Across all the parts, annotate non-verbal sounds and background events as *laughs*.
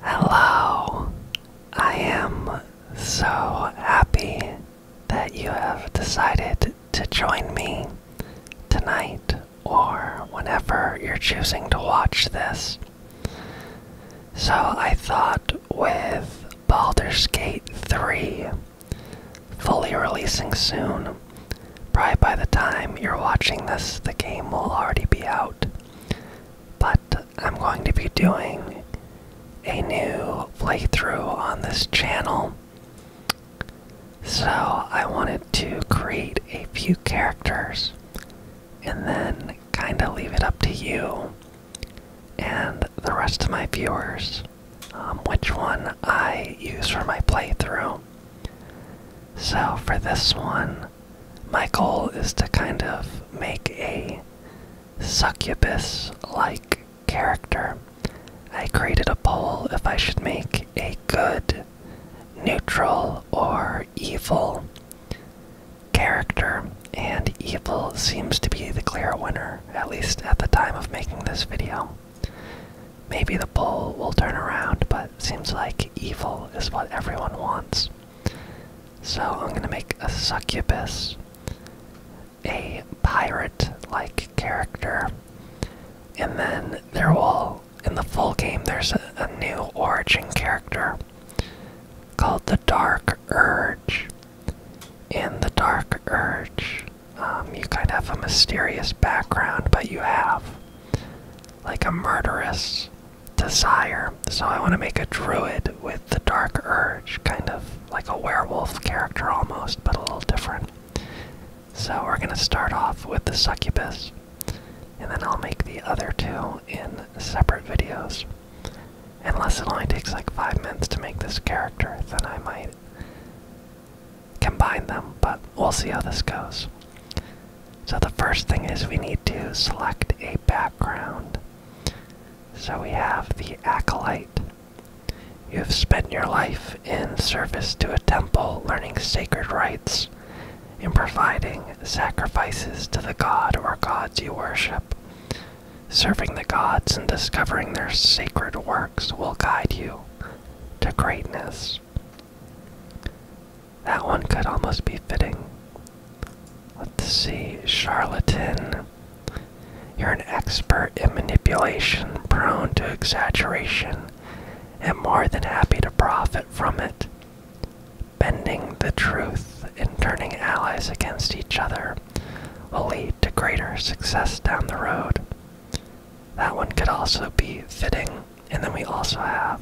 Hello, I am so happy that you have decided to join me tonight or whenever you're choosing to watch this. So, I thought with Baldur's Gate 3 fully releasing soon, probably by the time you're watching this, the game will already be out. But I'm going to be doing a new playthrough on this channel. So I wanted to create a few characters and then kind of leave it up to you and the rest of my viewers um, which one I use for my playthrough. So for this one, my goal is to kind of make a succubus like character. I created a poll if I should make a good, neutral, or evil character, and evil seems to be the clear winner, at least at the time of making this video. Maybe the poll will turn around, but seems like evil is what everyone wants. So I'm gonna make a succubus, a pirate like character, and then there will, in the full game, there's a, new origin character called the Dark Urge. In the Dark Urge, um, you kind of have a mysterious background, but you have like a murderous desire. So I want to make a druid with the dark urge, kind of like a werewolf character almost, but a little different. So we're going to start off with the succubus, and then I'll make the other two in separate videos. Unless it only takes like five minutes to make this character, then I might combine them, but we'll see how this goes. So the first thing is we need to select a background so we have the acolyte. You have spent your life in service to a temple, learning sacred rites, in providing sacrifices to the god or gods you worship. Serving the gods and discovering their sacred works will guide you to greatness. That one could almost be fitting. Let's see, charlatan. You're an expert in manipulation, prone to exaggeration, and more than happy to profit from it. Bending the truth and turning allies against each other will lead to greater success down the road. That one could also be fitting, and then we also have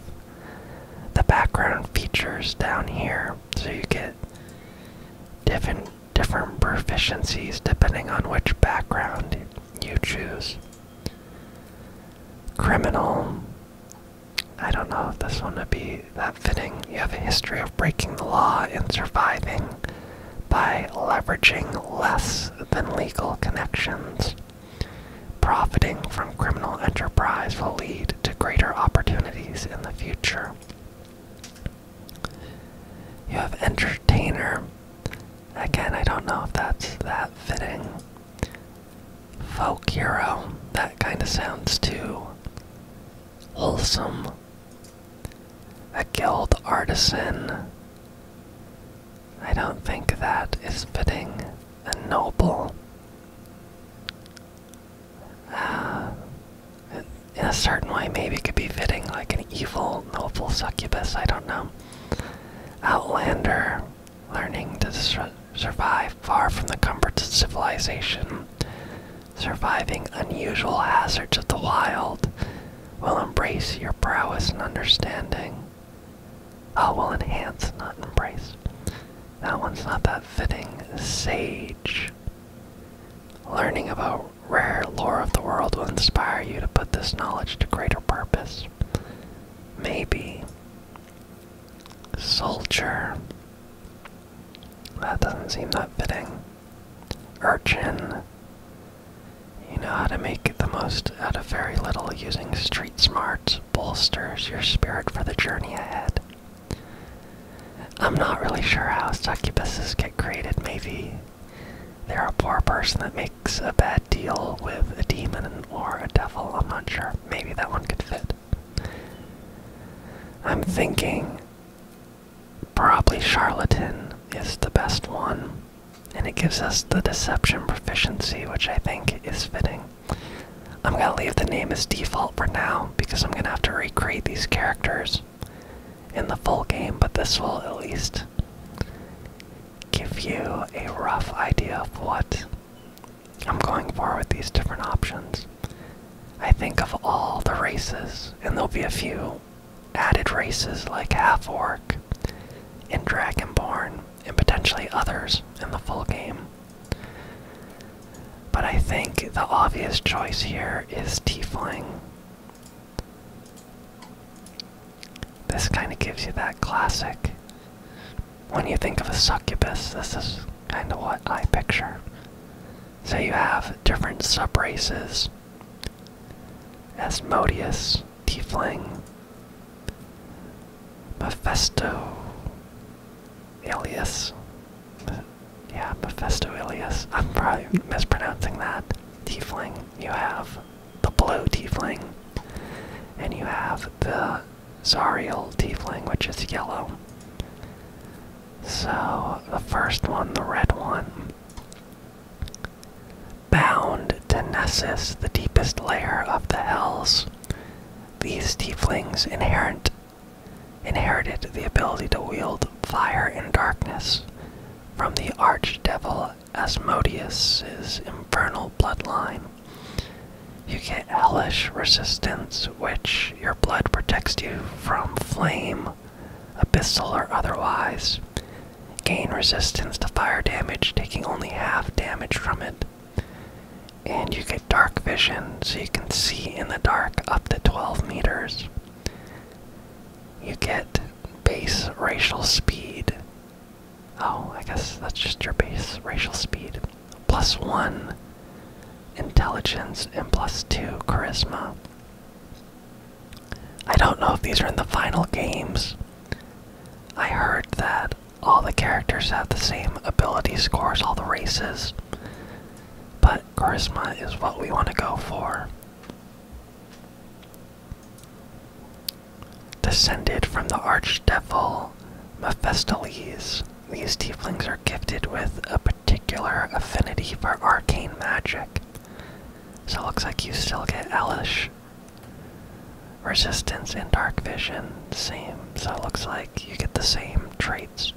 the background features down here. So you get different different proficiencies depending on which background you choose. Criminal. I don't know if this one would be that fitting. You have a history of breaking the law and surviving by leveraging less than legal connections, profiting from criminal enterprise will lead to greater opportunities in the future. You have entertainer. Again, I don't know if that's that fitting. Folk hero. That kind of sounds too wholesome. A guild artisan. I don't think that is fitting. A noble uh, in a certain way, maybe it could be fitting like an evil, noble succubus. I don't know. Outlander, learning to survive far from the comforts of civilization, surviving unusual hazards of the wild, will embrace your prowess and understanding. I oh, will enhance, not embrace. That one's not that fitting. Sage. Learning about rare lore of the world will inspire you to put this knowledge to greater purpose. Maybe. Soldier. That doesn't seem that fitting. Urchin. You know how to make the most out of very little using street smarts bolsters your spirit for the journey ahead. I'm not really sure how succubuses get created, maybe. They're a poor person that makes a bad deal with a demon or a devil, I'm not sure. Maybe that one could fit. I'm thinking probably charlatan is the best one, and it gives us the deception proficiency, which I think is fitting. I'm gonna leave the name as default for now because I'm gonna have to recreate these characters in the full game, but this will at least give you a rough idea of what I'm going for with these different options. I think of all the races, and there'll be a few added races like Half Orc and Dragonborn, and potentially others in the full game. But I think the obvious choice here is Tiefling. This kind of gives you that classic. When you think of a succubus, this is kind of what I picture. So you have different sub subraces Asmodeus, Tiefling, Mephisto, Ilias. Yeah, Mephisto Ilias. I'm probably mispronouncing that. Tiefling. You have the blue tiefling. And you have the Zariel tiefling, which is yellow. So, the first one, the red one. Bound to Nessus, the deepest layer of the Hells. These tieflings inherent inherited the ability to wield fire and darkness from the archdevil Asmodeus's infernal bloodline. You get hellish resistance, which your blood protects you from flame, abyssal or otherwise. Gain resistance to fire damage, taking only half damage from it. And you get dark vision, so you can see in the dark up to 12 meters. You get base racial speed. Oh, I guess that's just your base racial speed. Plus one intelligence and plus two charisma. I don't know if these are in the final games. I heard that all the characters have the same ability scores, all the races. But charisma is what we want to go for. Descended from the archdevil Mephistopheles, these tieflings are gifted with a particular affinity for arcane magic. So it looks like you still get Elish. Resistance and dark vision, same. So it looks like you get the same traits.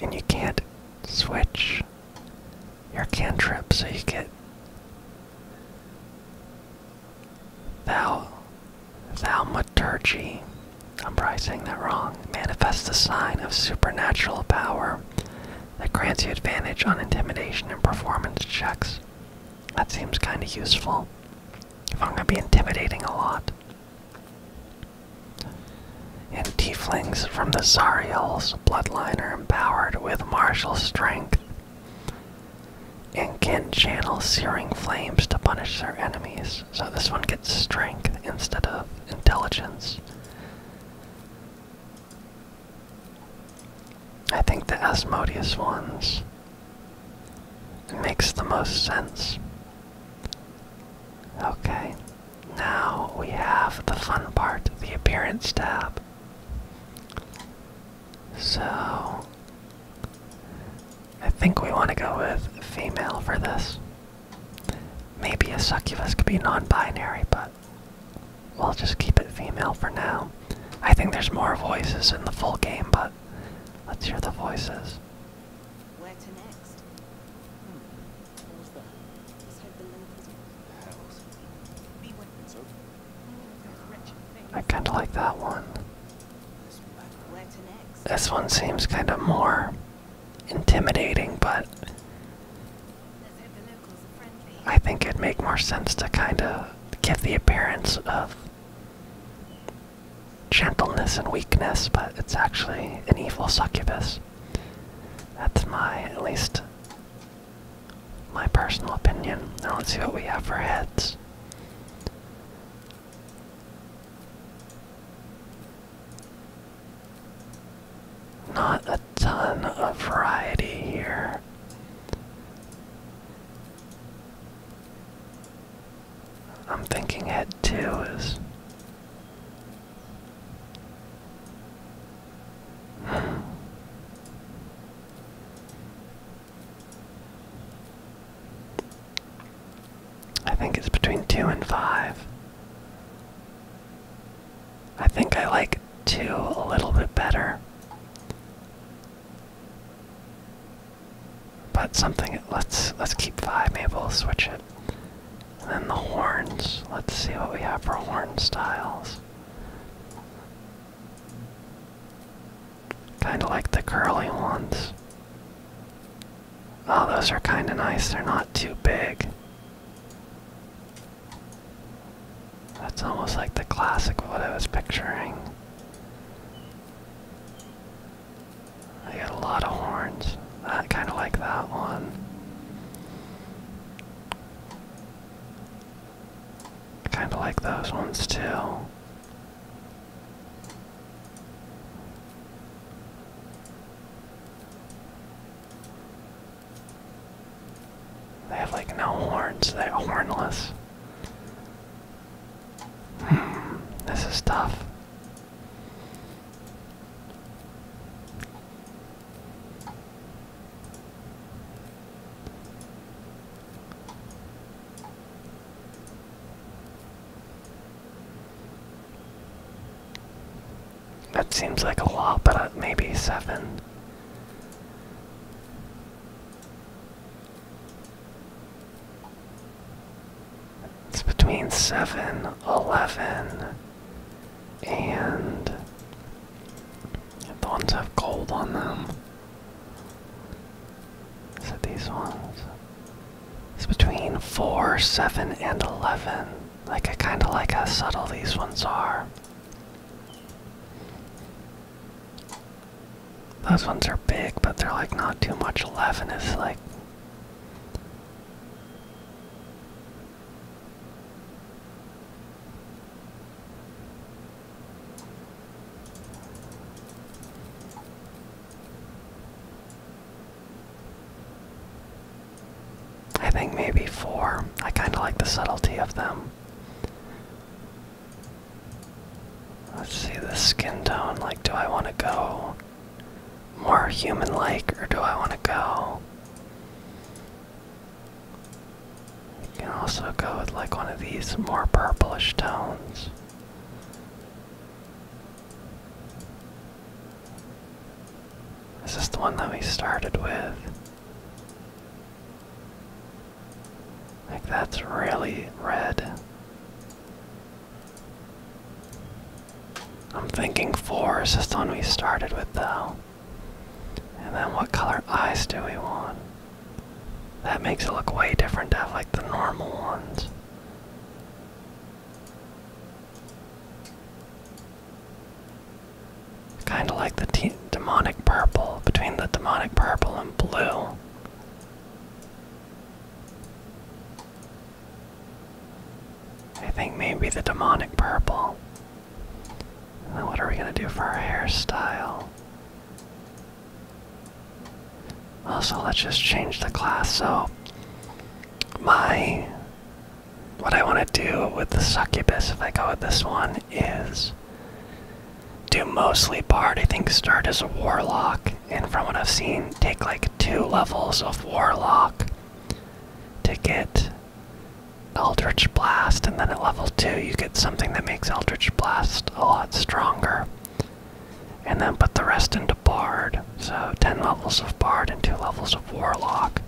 And you can't switch your cantrip, so you get Thou Thaumaturgy. I'm probably saying that wrong. Manifests a sign of supernatural power that grants you advantage on intimidation and performance checks. That seems kinda useful. If I'm gonna be intimidating a lot. And tieflings from the Zariel's bloodline are empowered with martial strength and can channel searing flames to punish their enemies. So this one gets strength instead of intelligence. I think the Asmodeus ones it makes the most sense. Okay, now we have the fun part, the appearance tab. So, I think we want to go with female for this. Maybe a succubus could be non binary, but we'll just keep it female for now. I think there's more voices in the full game, but let's hear the voices. Where to next? Hmm. What was that? Oh, I kinda like that one. This one seems kinda more intimidating, but I think it'd make more sense to kinda give the appearance of gentleness and weakness, but it's actually an evil succubus. That's my, at least, my personal opinion. Now let's see what we have for heads. Not a ton of variety here. I'm thinking head two is. I think it's between two and five. I think I like two a little bit better. But something let's let's keep five, maybe we'll switch it. then the horns. Let's see what we have for horn styles. Kinda like the curly ones. Oh, those are kinda nice, they're not too big. That's almost like the classic what I was picturing. I got a lot of horns. I kind of like that one. kind of like those ones too. They have like no horns, they're hornless. Hmm, this is tough. That seems like a lot, but uh, maybe seven. It's between 7, 11, and the ones have gold on them. Is it these ones? It's between 4, 7, and 11. Like, I kinda like how subtle these ones are. Those ones are big, but they're like not too much. 11 is like I think maybe four. I kind of like the subtlety of them. Let's see the skin tone. Like, do I want to go more human like, or do I want to go? You can also go with like one of these more purplish tones. Is this the one that we started with? Like that's really red. I'm thinking four is just the one we started with, though. And then what color eyes do we want? That makes it look way different to have like the normal ones. Kind of like the demonic purple, between the demonic purple and blue. I think maybe the demonic purple. what are we gonna do for our hairstyle? Also, let's just change the class. So, my. What I wanna do with the succubus, if I go with this one, is. Do mostly bard. I think start as a warlock, and from what I've seen, take like two levels of Warlock to get Eldritch Blast, and then at level 2 you get something that makes Eldritch Blast a lot stronger. And then put the rest into Bard. So 10 levels of Bard and 2 levels of Warlock.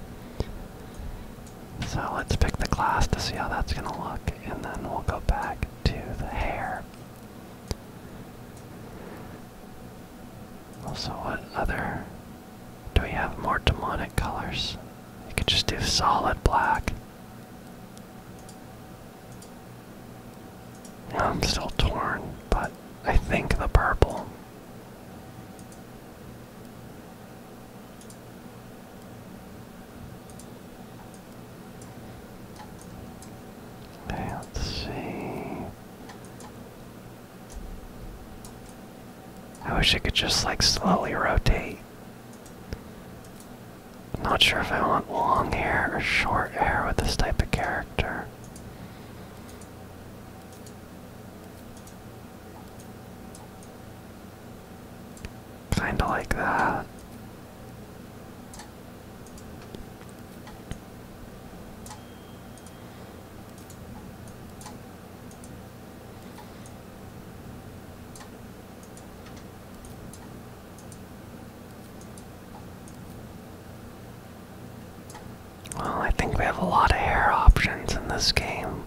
So let's pick the class to see how that's going to look, and then we'll go back to the hair. Also, what other? Do we have more demonic colors? You could just do solid black. I'm still torn, but I think the purple. let's see. I wish I could just like slowly rotate. not sure if I want long hair or short hair with this type of character. Kinda like that. Well, I think we have a lot of hair options in this game.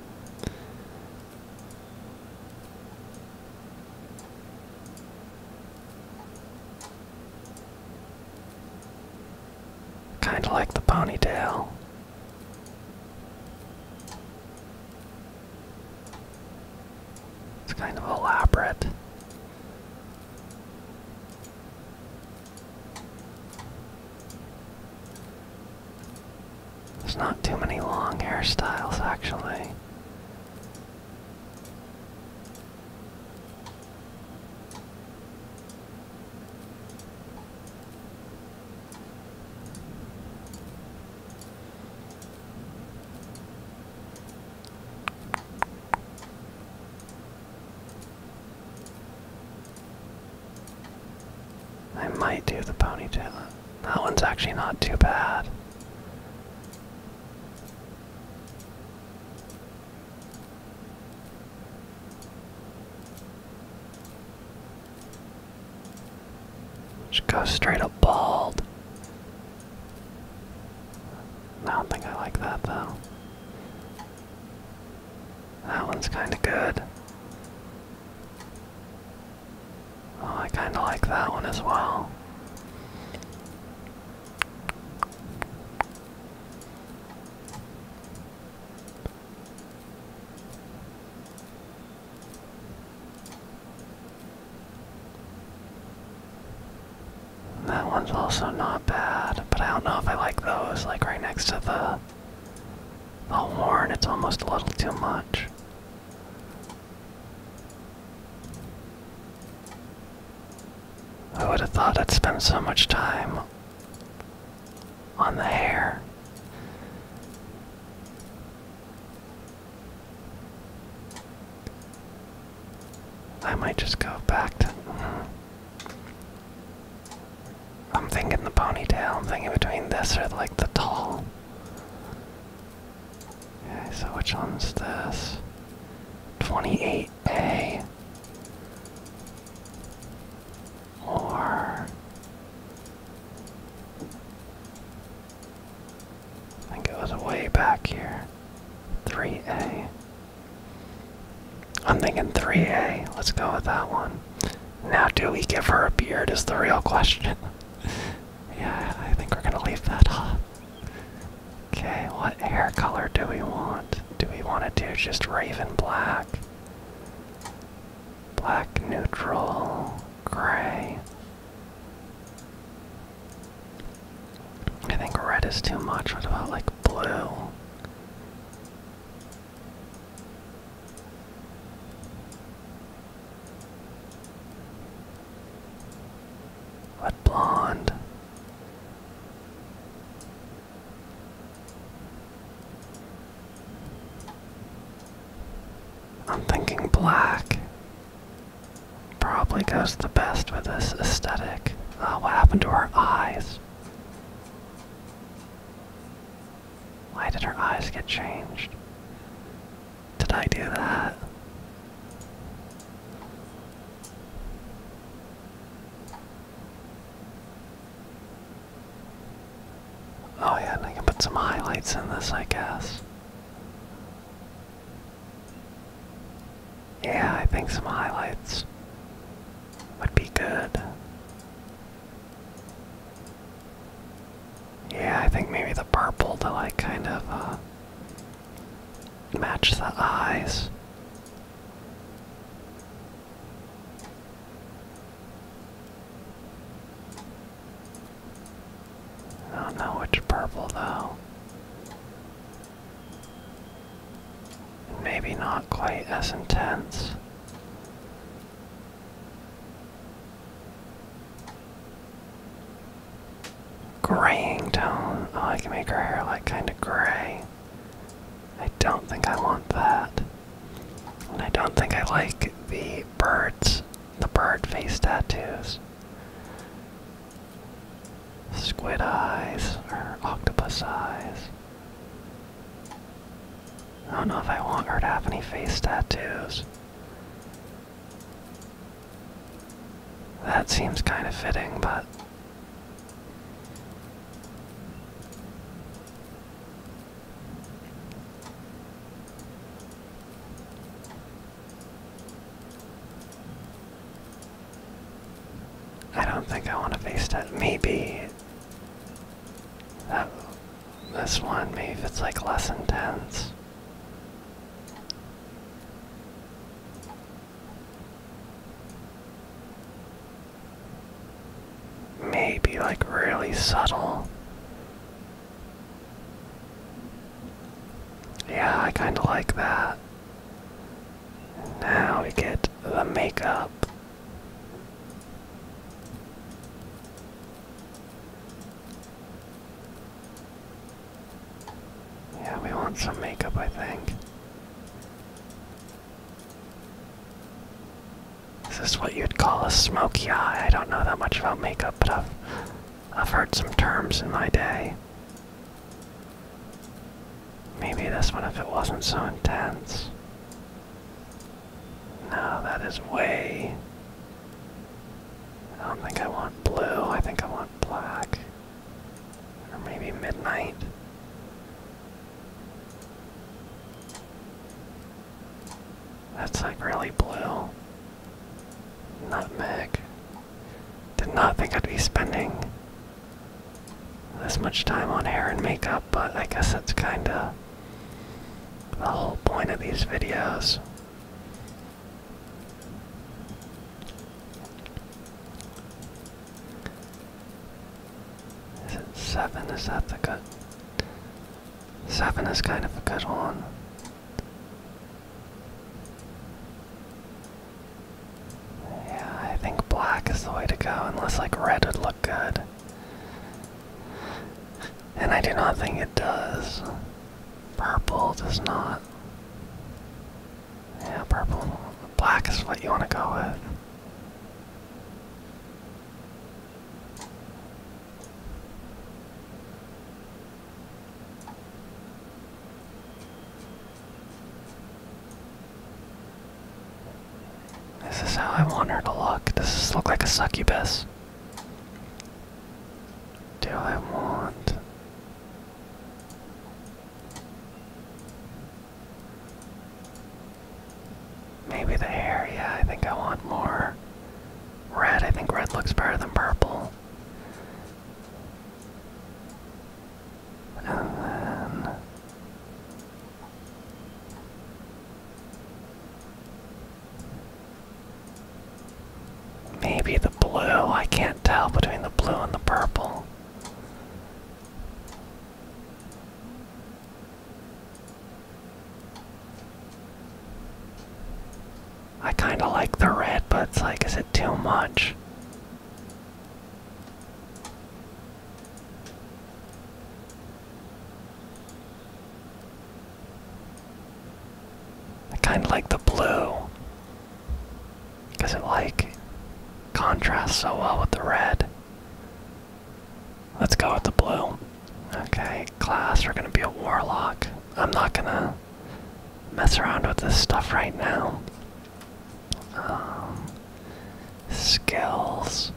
Kind of like the ponytail. It's kind of elaborate. There's not too many long hairstyles, actually. I might do the ponytail. That one's actually not too bad. Just go straight up bald. I don't think I like that though. That one's kinda good. Oh, I kinda like that one as well. That one's also not bad, but I don't know if I like those, like right next to the the horn, it's almost a little too much. I would have thought I'd spend so much time on the hair. I might just go back to. Mm-hmm. I'm thinking the ponytail. I'm thinking between this or like the tall. Okay, so which one's this? 28A or I think it was way back here. 3A. I'm thinking 3A. Let's go with that one. Now, do we give her a beard is the real question. *laughs* yeah, I think we're gonna leave that off. Okay, what hair color do we want? Do we want to do just raven black? Black, neutral, gray. I think red is too much. What about like blue? What blonde? I'm thinking black probably goes the best with this aesthetic. Uh, what happened to her eyes? Why did her eyes get changed? Did I do that? Oh yeah, I can put some highlights in this, I guess. Yeah, I think some highlights would be good. Yeah, I think maybe the purple to like kind of uh, match the eyes. I don't know which purple though. Maybe not quite as intense. Graying tone. Oh, I can make her hair like kind of gray. I don't think I want that. I don't think I like the birds, the bird face tattoos. Squid eyes or octopus eyes. I don't know if I want her to have any face tattoos. That seems kind of fitting, but I don't think I want to face that. Maybe that this one, maybe it's like less intense. Maybe like really subtle. Yeah, I kind of like that. Now we get the makeup. Yeah, we want some makeup, I think. Is this what you'd call a smoky eye? I don't know that much about makeup, but I've, I've heard some terms in my day. Maybe this one if it wasn't so intense. No, that is way. I don't think I want blue, I think I want black. Or maybe midnight. That's like really blue. Nutmeg. Did not think I'd be spending this much time on hair and makeup, but I guess that's kinda the whole point of these videos. Is it seven? Is that the good? Seven is kind of a good one. Yeah, I think black is the way to go, unless like red would look good. And I do not think it does. Purple does not. Yeah, purple. Black is what you want to go with. This is how I want her to look. Does this look like a succubus? Do I want Maybe the hair, yeah, I think I want more red. I think red looks better than purple. And then. Maybe the blue, I can't tell between the blue and the purple. I kind of like the red, but it's like, is it too much? I kind of like the blue because it like contrasts so well with the red. Let's go with the blue. Okay, class, we're gonna be a warlock. I'm not gonna mess around with this stuff right now. Um, skills.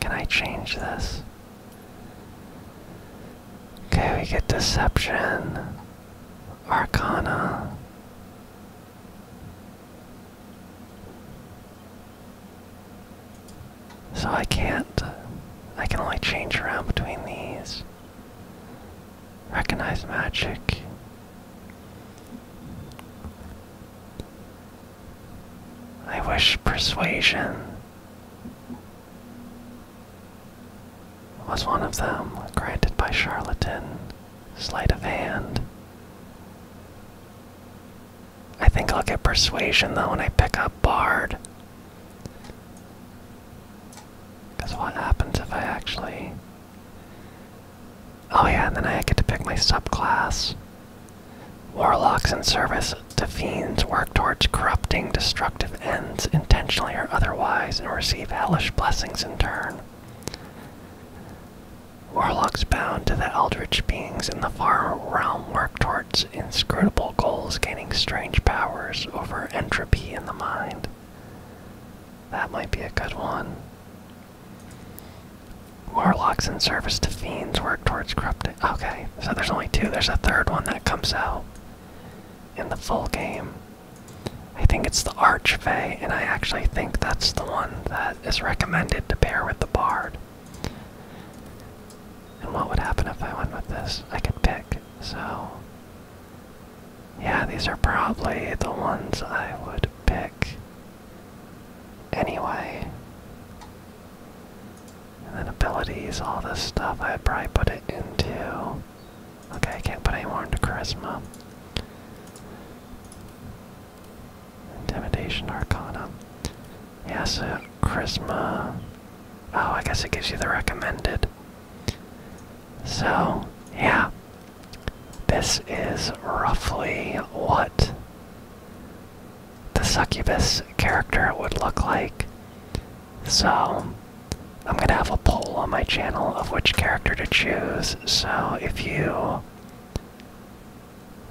Can I change this? Okay, we get Deception, Arcana, so I can't, uh, I can only change around between these. Recognize magic. I wish persuasion was one of them, granted by charlatan. Sleight of hand. I think I'll get persuasion though when I pick up Bard. Because what happens if I actually. Oh yeah, and then I get to pick my subclass. Warlocks in service to fiends work towards corrupting destructive ends intentionally or otherwise and receive hellish blessings in turn. Warlocks bound to the eldritch beings in the far realm work towards inscrutable goals, gaining strange powers over entropy in the mind. That might be a good one. Warlocks in service to fiends work towards corrupting. Okay, so there's only two. There's a third one that comes out in the full game. I think it's the Archfey, and I actually think that's the one that is recommended to pair with the bard. And what would happen if I went with this? I could pick, so. Yeah, these are probably the ones I would pick anyway. And then abilities, all this stuff, I'd probably put it into. Okay, I can't put any more into charisma. Intimidation Arcana. yes, so uh, Charisma. Oh, I guess it gives you the recommended. So, yeah. This is roughly what the succubus character would look like. So, I'm gonna have a poll on my channel of which character to choose. So, if you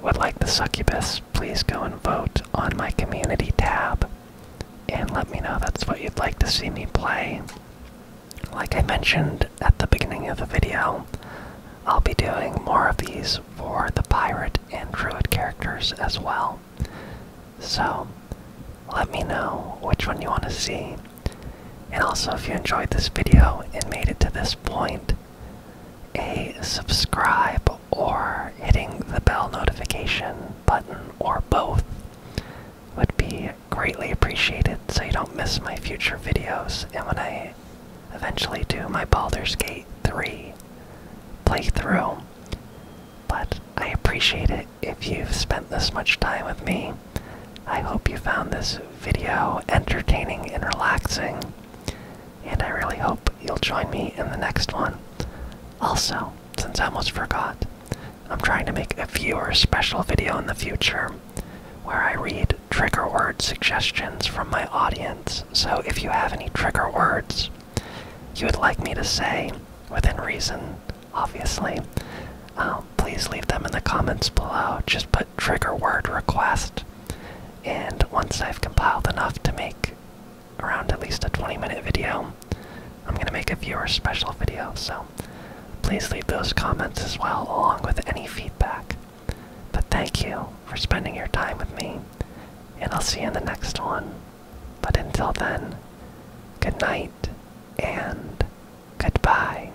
would like the succubus, please go and vote on my community tab and let me know that's what you'd like to see me play. Like I mentioned at the beginning of the video, I'll be doing more of these for the pirate and druid characters as well. So, let me know which one you want to see. And also, if you enjoyed this video and made it to this point, a subscribe or hitting the bell notification button or both would be greatly appreciated so you don't miss my future videos and when I eventually do my Baldur's Gate 3 playthrough. But I appreciate it if you've spent this much time with me. I hope you found this video entertaining and relaxing and I really hope you'll join me in the next one. Also, since I almost forgot, I'm trying to make a viewer special video in the future where I read trigger word suggestions from my audience. So if you have any trigger words you would like me to say within reason, obviously, um, please leave them in the comments below. Just put trigger word request and once I've compiled enough to make around at least a 20 minute video, I'm going to make a viewer special video. So please leave those comments as well, along with any feedback. But thank you for spending your time with me, and I'll see you in the next one. But until then, good night and goodbye.